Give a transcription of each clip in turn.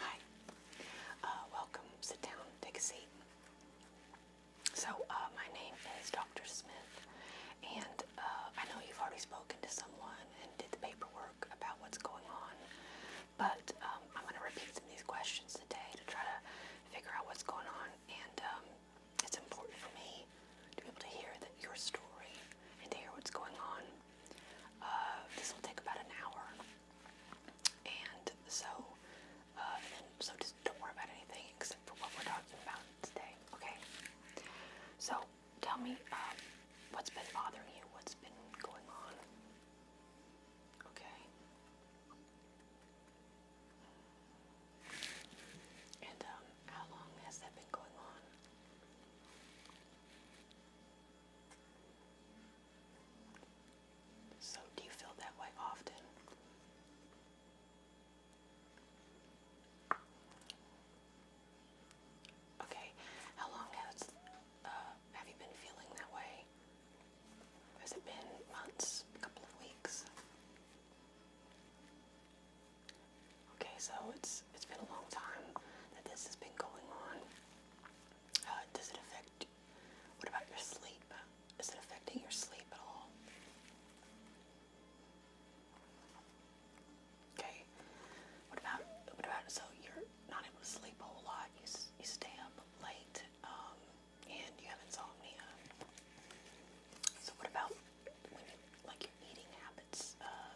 Hi. Uh, welcome. Sit down. Take a seat. So, uh, my name is Dr. Smith, and uh, I know you've already spoken to someone and did the paperwork about what's going on, but um, I'm going to repeat some of these questions today to try to figure out what's going on, and um, it's important for me to be able to hear your story and to hear what's going on. Uh, this will take about an hour, and so uh, so just don't worry about anything except for what we're talking about today. Okay. So tell me um, what's been bothering you. What's been going on? Okay. And um, how long has that been going on? So, do you feel that way often? Okay, how long has uh, have you been feeling that way? Has it been months, a couple of weeks? Okay, so it's it's been a long time that this has been going on. Uh, does it affect? What about your sleep? Is it affecting your sleep at all? Okay. What about? What about? So you're not able to sleep a whole lot. You you stay up late, um, and you have insomnia. So what about like your eating habits uh,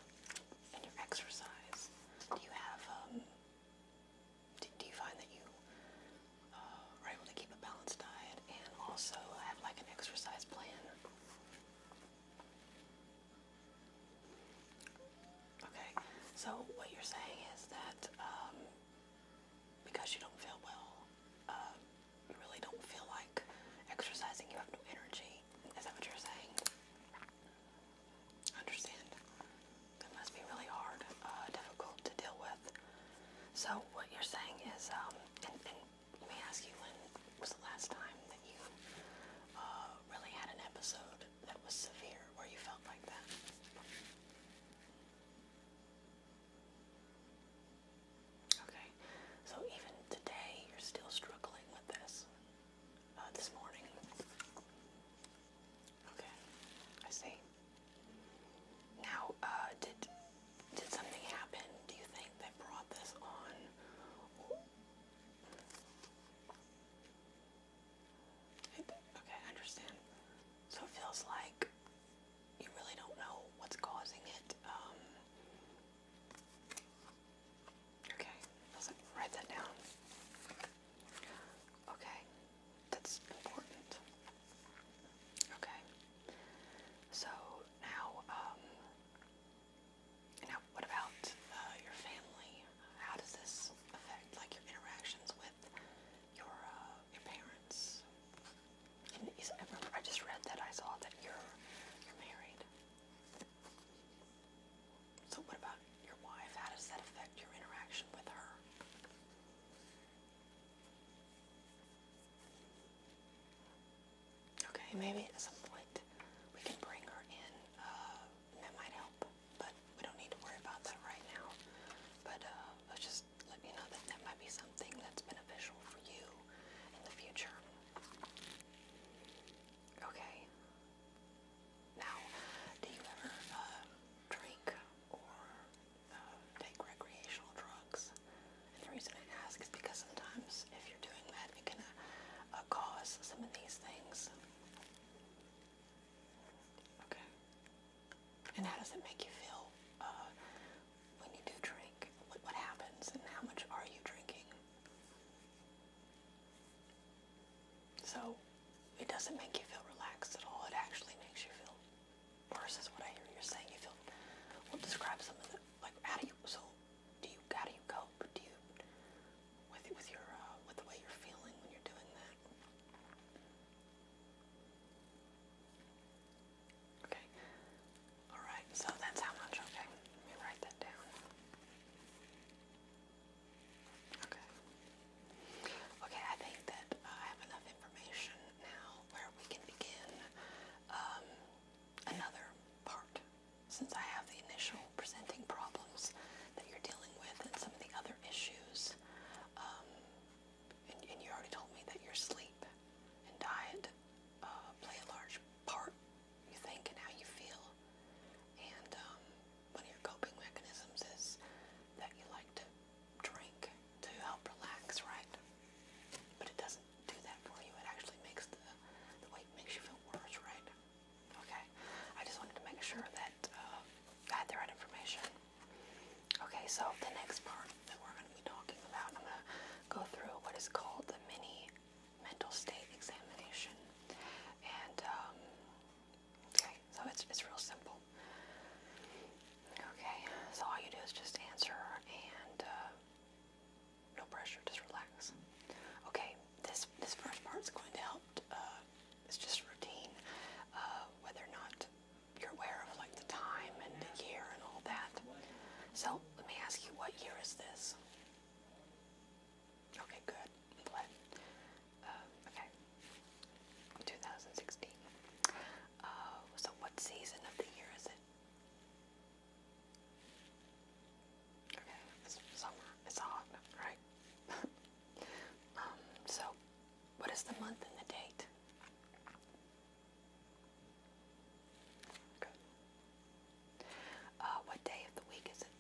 and your exercise? Do you have um, do, you find that you uh, are able to keep a balanced diet and also have like an exercise plan? Okay, so what you're saying is that um, because you don't feel well, um, you really don't feel like exercising, you have no energy. Is that what you're saying? Understand. That must be really hard, uh, difficult to deal with. So what you're saying is, um, and, and let me ask you, when was the last time that you uh, really had an episode that was severe where you felt like that? Okay, so even today you're still struggling with this uh, this morning. Okay, I see. Now, uh, did did something happen? Do you think that brought this on? It, okay, I understand. So it feels like you really don't know what's causing it. Um, Okay, let's write that down. Okay, that's important. Okay, so now, um, now what about uh, your family? How does this affect, like, your interactions with your uh, your parents? I just read that I saw that you're you're married. So, what about your wife? How does that affect your interaction with her? Okay, maybe at some point we can bring her in. Uh, that might help, but we don't need to worry about that right now. But uh, just let you know that that might be something that's beneficial for you in the future. Okay. Now, do you ever um, drink or um, take recreational drugs? the reason I ask is because sometimes if you're doing that, it can uh, cause some of these things. Okay. And how does it make you feel uh, when you do drink? what happens and how much are you drinking? So it doesn't make you feel relaxed at all. It actually makes you feel worse is what I hear you're saying. You feel well describe some of like how do you so do you how do you cope? Do you with with your uh, with the way you're feeling when you're doing that? Okay. Alright, so that's how much, okay. Let me write that down. Okay. Okay, I think that uh, I have enough information now where we can begin um, another part. Since I have the initial presenting problems that you're dealing with and some of the other issues, um, and, you already told me that your sleep and diet uh, play a large part you think and how you feel. And um, one of your coping mechanisms is that you like to drink to help relax, right? But it doesn't do that for you. It actually makes the, the weight makes you feel worse, right? Okay. I just wanted to make sure that uh, I had the right information. Okay, so the next part that we're going to be talking about, I'm going to go through what is called the mini mental state examination. And okay, um, so it's it's real simple. Okay, so all you do is just answer and uh, no pressure, just relax. Okay, this this first part's going to help. Uh, it's just routine, uh, whether or not you're aware of like the time and the year and all that. So let me ask you, what year is this? Okay, good. Blend. Uh, okay. 2016. Uh, so what season of the year is it? Okay, summer. It's hot, right? Um, so what is the month and the date? Uh, what day of the week is it?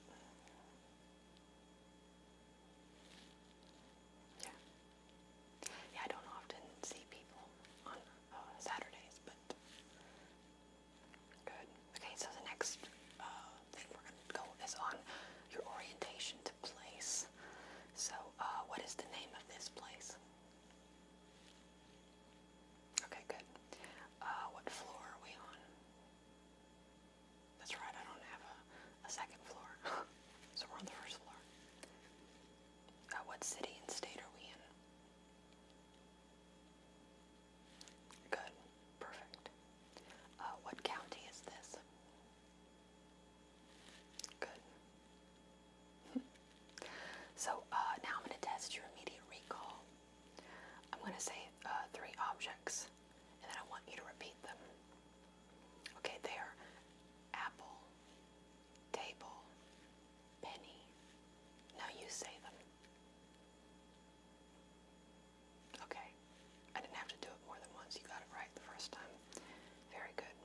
Yeah. Yeah, I don't often see people on uh, Saturdays, but good. Okay, so the next uh, thing we're going to go is on your orientation to place. So, what is the name of this place? Okay, good. what floor are we on? That's right, I don't have a, second floor. so we're on the first floor. Uh, what city and state are we in? Good. Perfect. Uh, what county is this? Good. so uh, now I'm going to test your immediate recall. I'm going to say uh, three objects, and then I want you to repeat them. Okay, they apple, table, penny. Now you say them. Okay, I didn't have to do it more than once. You got it right the first time. Very good.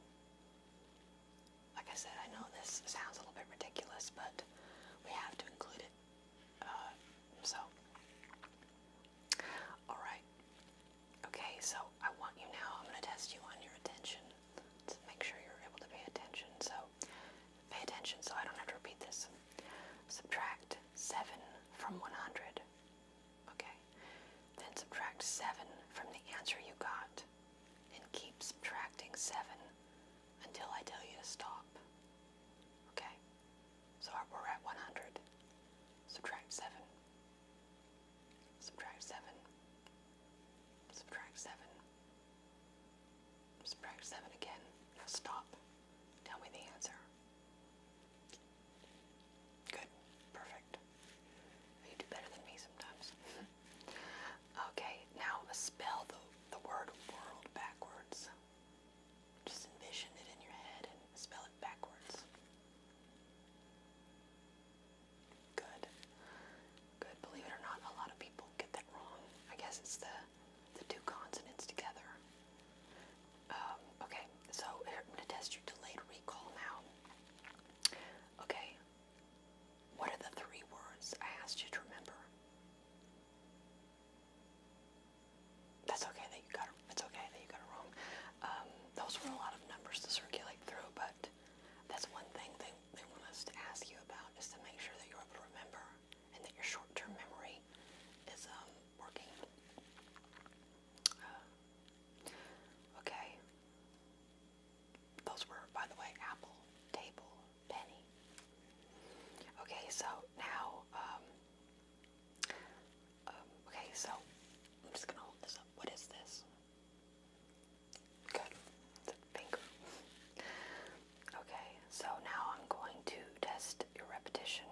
Like I said, I know this sounds a little bit ridiculous, but we have to include it uh, so, alright. Okay, so I want you now, I'm going to test you on your attention to make sure you're able to pay attention. So, pay attention so I don't have to repeat this. Subtract 7 from 100. Okay. Then subtract 7 from the answer you got and keep subtracting 7 until I tell you to stop. Okay? So we're at 100. Subtract 7. Subtract 7. Subtract 7. Subtract 7 again. Now stop. Tell me the answer. Good. Perfect. You do better than me sometimes. okay, now spell the, word world backwards. Just envision it in your head and spell it backwards. Good. Good. Believe it or not, a lot of people get that wrong. I guess it's the the two consonants together. Um, okay, so I'm going to test your delayed recall now. Okay, what are the three words I asked you to remember? That's okay that you got it. It's okay that you got it wrong. Um, those were a lot of numbers to circulate through, but that's one thing they they want us to ask you about is to make sure that you're able to remember and that your short-term memory is um, working. Uh, okay. Those were, by the way, apple, table, penny. Okay, so now, um, um, okay, so I'm just gonna hold this up. What is this? Good, it's a finger. okay, so now I'm going to test your repetition.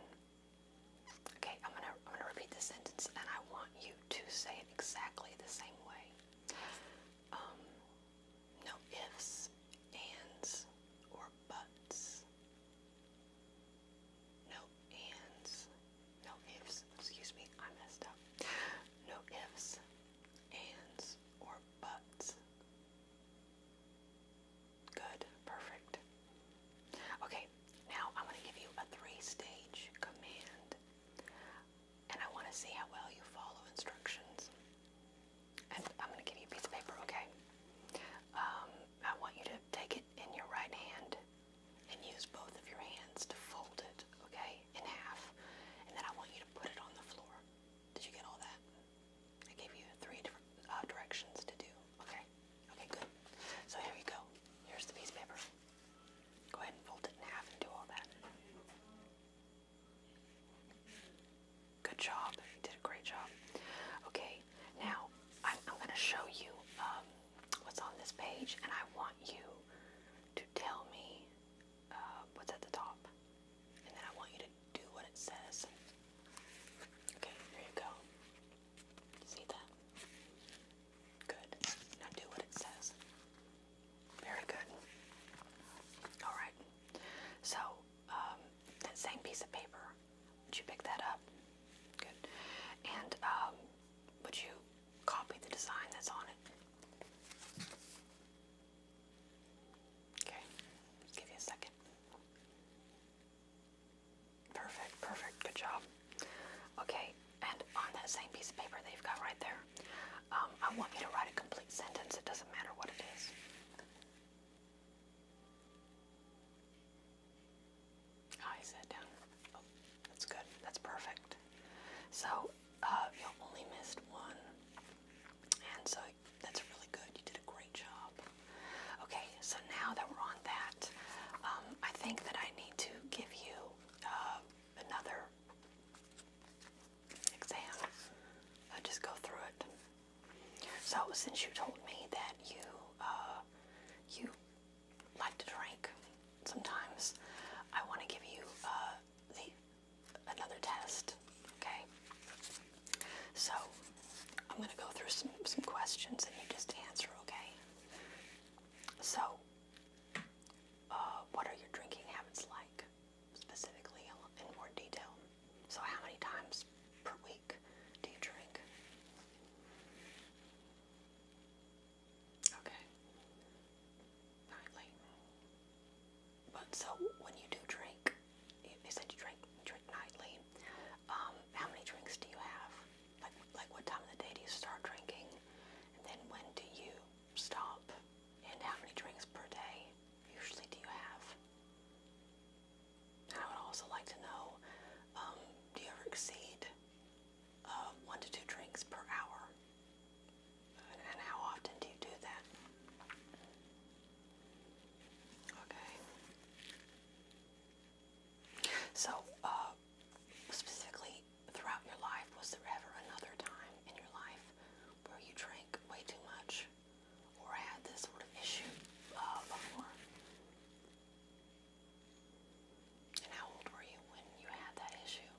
Okay, I'm gonna I'm gonna repeat this sentence, and I want you to say it exactly the same way. Um, no ifs, ands, or buts. No ands, no ifs, excuse me, I messed up. No ifs, ands, or buts. Good, perfect. Okay, now I'm going to give you a three stage command, and I want to see how well you follow instructions. I'm going to give you a piece of paper, okay? Um, I want you to take it in your right hand and use both of your hands to fold it, okay, in half. And then I want you to put it on the floor. Did you get all that? I gave you three different uh, directions to do, okay? Okay, good. So here we go. Here's the piece of paper. Go ahead and fold it in half and do all that. Good job. You did a great job. Okay, now I'm, going to show you um, what's on this page, and I want you to tell me uh, what's at the top. And then I want you to do what it says. Okay, here you go. See that? Good. Now do what it says. Very good. Alright. So, um, that same piece of paper. Would you pick that up? Good. And um, would you copy the design that's on it? Okay, give you a second. Perfect, perfect, good job. Okay, and on that same piece of paper that you've got right there, um, I want you to write a complete sentence. It doesn't matter what it is. Oh, I sat down. Oh, that's good. That's perfect. So uh, you only missed one, and so that's really good. You did a great job. Okay, so now that we're on that, um, I think that I need to give you uh, another exam. just go through it. So since you told me that you uh, you like to drink sometimes, I want to give you uh, the another test. Okay. So I'm gonna go through some some questions and you just answer. Okay. So uh, what are your drinking habits like? specifically in more detail. So, how many times per week do you drink? Okay. Nightly. But so when you do drink, you, you said you drink drink nightly. Um, how many drinks do you have? Like like what time of the day do you start drinking? And then when do you stop? And how many drinks per day? usually do you have? And I would also like to know, um, do you ever exceed uh, one to two drinks per hour? And, and how often do you do that? Okay. So, uh, specifically throughout your life, was there ever another time in your life where you drank way too much? or had this sort of issue uh, before? And how old were you when you had that issue?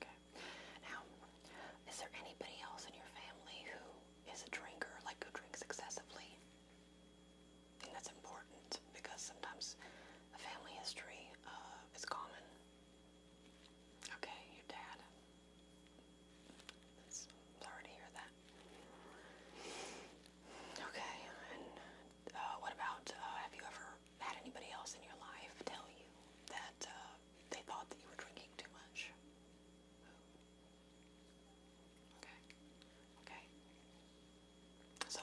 Okay. Now, is there anybody else in your family who is a drinker, like who drinks excessively? And that's important because sometimes a family history uh, is common. Okay, your dad. It's sorry to hear that. Okay, and uh, what about uh, have you ever had anybody else in your life tell you that uh, they thought that you were drinking too much? Okay, okay. So,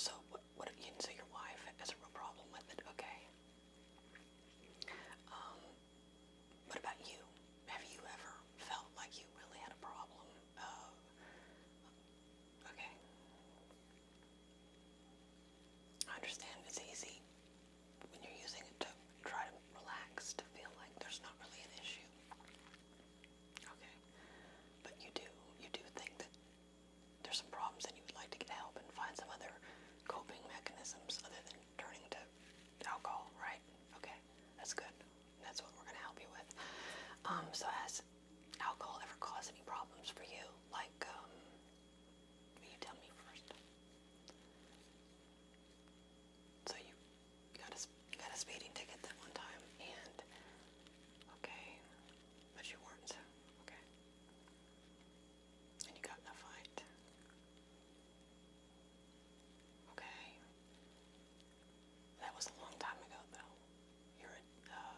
so what you can see your wife has a real problem with it, okay? Um, what about you? Have you ever felt like you really had a problem? Uh, okay. I understand it's easy when you're using it to try to relax, to feel like there's not really an issue. Okay. But you do, you do think that there's some problems and you would like to get help and find some other coping mechanisms other than turning to alcohol, right? Okay, that's good. That's what we're going to help you with. Um, so has alcohol ever caused any problems for you? Like, um, you tell me first. So you got a, got a speeding ticket that one time and, okay, but you weren't, okay. And you got in a fight. Okay. That was a long time ago, though. You're uh,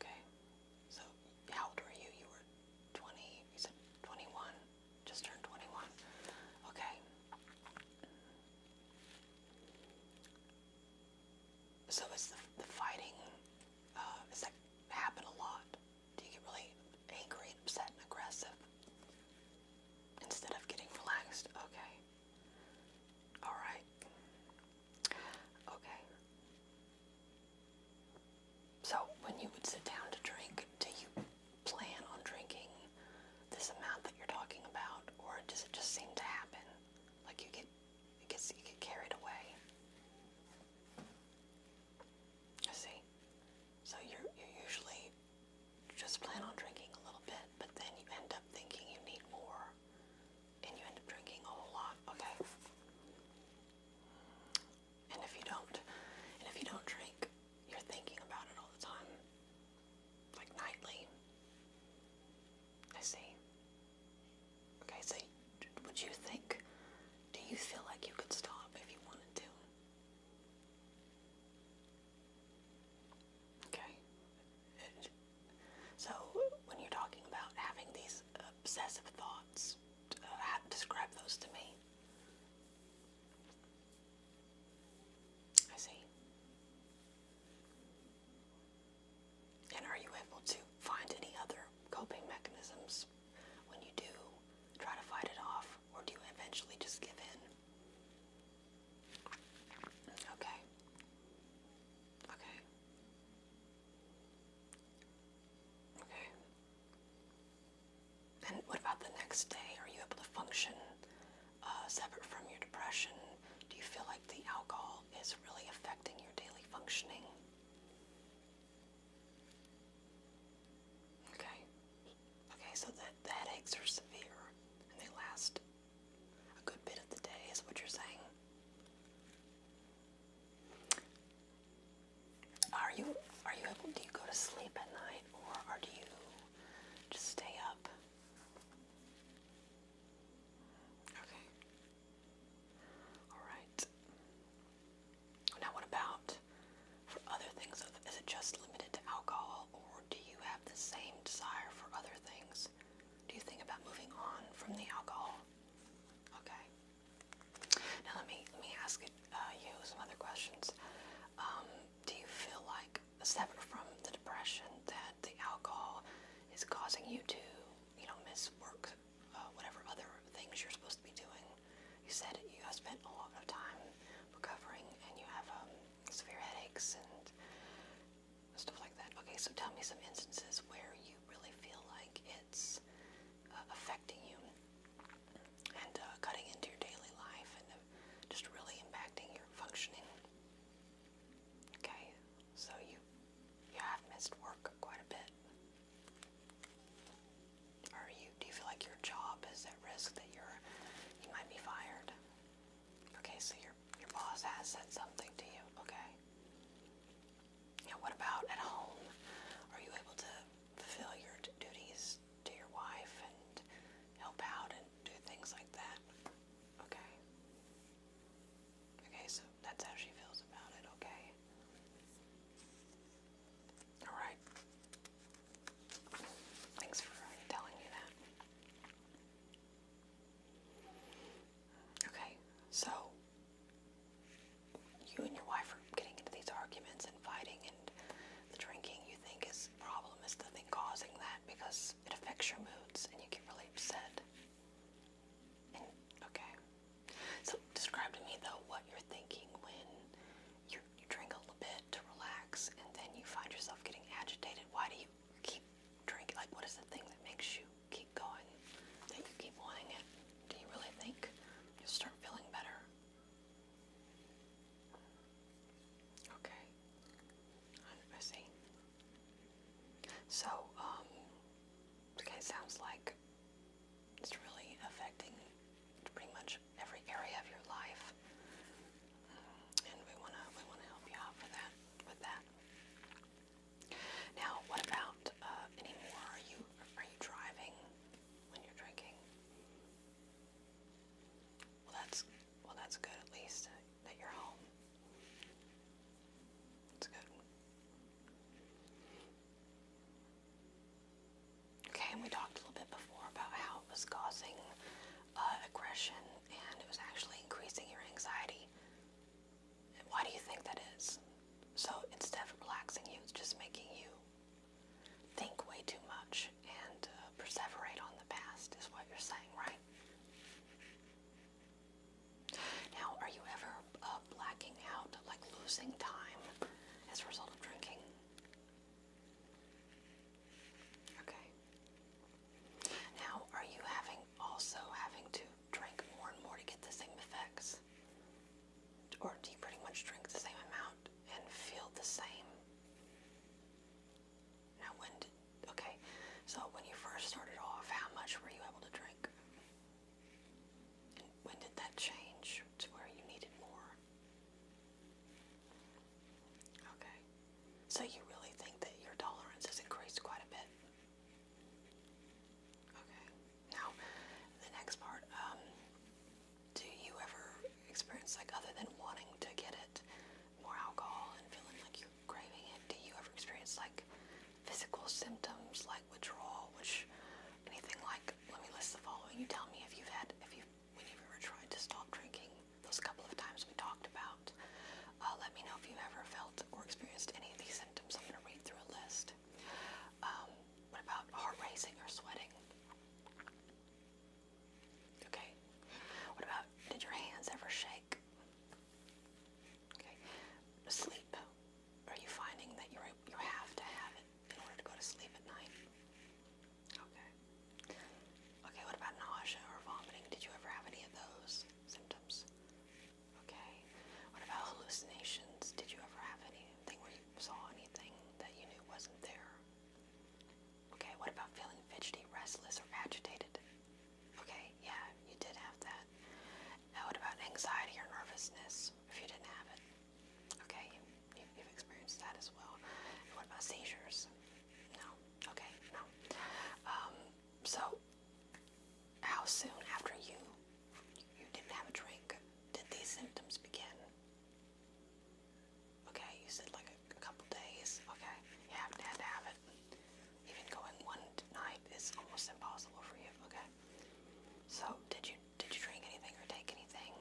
okay. So, how old were you? You were 20, you said 21, just turned 21. Okay. So it's the, fighting, uh, that happen a lot? Do you get really angry and upset and aggressive instead of getting relaxed? Okay. All right. Okay. So when you would sit down to drink, do you plan on drinking this amount that you're talking about, or does it just seem to happen? Like you get it you get carried away. You see? So you're you usually just plan on drinking a little bit, but then you end up thinking you need more and you end up drinking a whole lot, okay? And if you don't and if you don't drink, you're thinking about it all the time. Like nightly. I see. Okay, see. would you think, do you feel like you could stop if you wanted to? Okay. So when you're talking about having these obsessive thoughts, uh, describe those to me. I see. And are you able to find any other coping mechanisms when you do try to fight it off, or do you eventually just give in? Okay. Okay. Okay. And what about the next day? Are you able to function uh, separate from your depression? Do you feel like the alcohol is really affecting your daily functioning. Okay. Okay, so that the headaches are severe and they last a good bit of the day is what you're saying. Are you are you able do you go to sleep at night or are you just stay up? Okay. Alright. Now, what about for other things? Is it just limited to alcohol, or do you have the same desire for other things? Do you think about moving on from the alcohol? Okay. Now, let me let me ask uh, you some other questions. Um, do you feel like, separate from the depression, that the alcohol is causing you to you know, miss work, uh, whatever other things you're supposed to be doing. You said you have spent a lot of time recovering and you have um, severe headaches and stuff like that. Okay, so tell me some instances where you really feel like it's uh, affecting you and uh, cutting into your daily life and uh, just really impacting your functioning. Okay, so you you have missed work quite a bit. Are you? Do you feel like your job is at risk that you're you might be fired? Okay, so your your boss has said something to you. Okay. Now, what about at home? Are you able to fulfill your duties to your wife and help out and do things like that? Okay. Okay, so that's how she feels about it, okay? Alright. Thanks for telling me that. Okay, so you and your wife are getting into these arguments and fighting, and the drinking you think is the problem causing that because it affects your moods and you get really upset. Okay. So describe to me though what you're thinking when you you drink a little bit to relax and then you find yourself getting agitated. Why do you keep drinking? Like what is the thing that makes you keep going? That you keep wanting it? Do you really think you'll start feeling better? Okay. I see. So, um, Okay, sounds like it's really affecting pretty much every area of your life, mm, and we wanna we wanna help you out for that with that. Now, what about uh, anymore? Are you are you driving when you're drinking? Well, that's well, that's good. At least that you're home. It's good. Okay, and we talked a little bit before about how it was causing uh, aggression and it was actually increasing your anxiety. why do you think that is? So instead of relaxing you, it's just making you think way too much and uh, perseverate on the past, is what you're saying, right? Now, are you ever uh, blacking out, like losing time as a result of drinking? Okay. Now, are you having also having to drink more and more to get the same effects? Or do you pretty much drink the same amount and feel the same? Now, when did Okay, so when you first started off, how much were you able to drink? And when did that change to where you needed more? Okay, so you really think that your tolerance has increased quite a bit? Okay, now the next part. Um, do you ever experience, like, other than wanting to get it, more alcohol and feeling like you craving it, do you ever experience like physical symptoms like withdrawal, which anything like let me list the following. You tell me if you've had if you when you've ever tried to stop drinking those couple of times we talked about. Uh, let me know if you ever felt or experienced any of these symptoms. I'm gonna read through a list. Um, what about heart racing or sweating? Okay. What about did your hands ever shake? Okay. Sleep. Are you finding that you you have to have it in order to go to sleep at night? Okay. Okay. What about nausea or vomiting? Did you ever have any of those symptoms? Okay. What about hallucinations? Did you ever have anything where you saw anything that you knew wasn't there? Okay. What about feeling fidgety, restless, or agitated? Okay, yeah, you did have that. Now, what about anxiety or nervousness if you didn't have it? Okay, you, have experienced that as well. what about seizures? No. Okay, no. Um, so, how soon after you you didn't have a drink did these symptoms begin? Okay, you said like a, couple days. Okay, you had to have it even going one night is almost impossible for you. Okay. So did you did you drink anything or take anything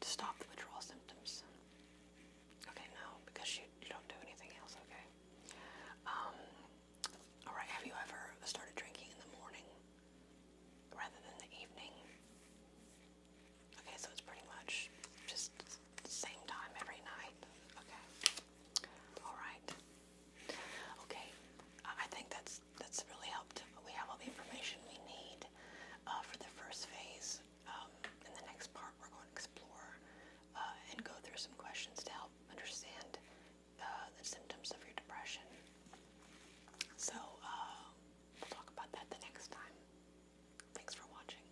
to stop the withdrawal symptoms? Okay, no, because you you don't do anything else. Okay. Um. All right. Have you ever started drinking in the morning rather than the evening? Okay, so it's pretty much just same time every night. Okay. All right. Okay. I think that's that's really helped. We have all the information we need uh, for the first phase. Um, in the next part, we're going to explore uh, and go through some questions to help understand uh, the symptoms of your depression. So we'll talk about that the next time. Thanks for watching.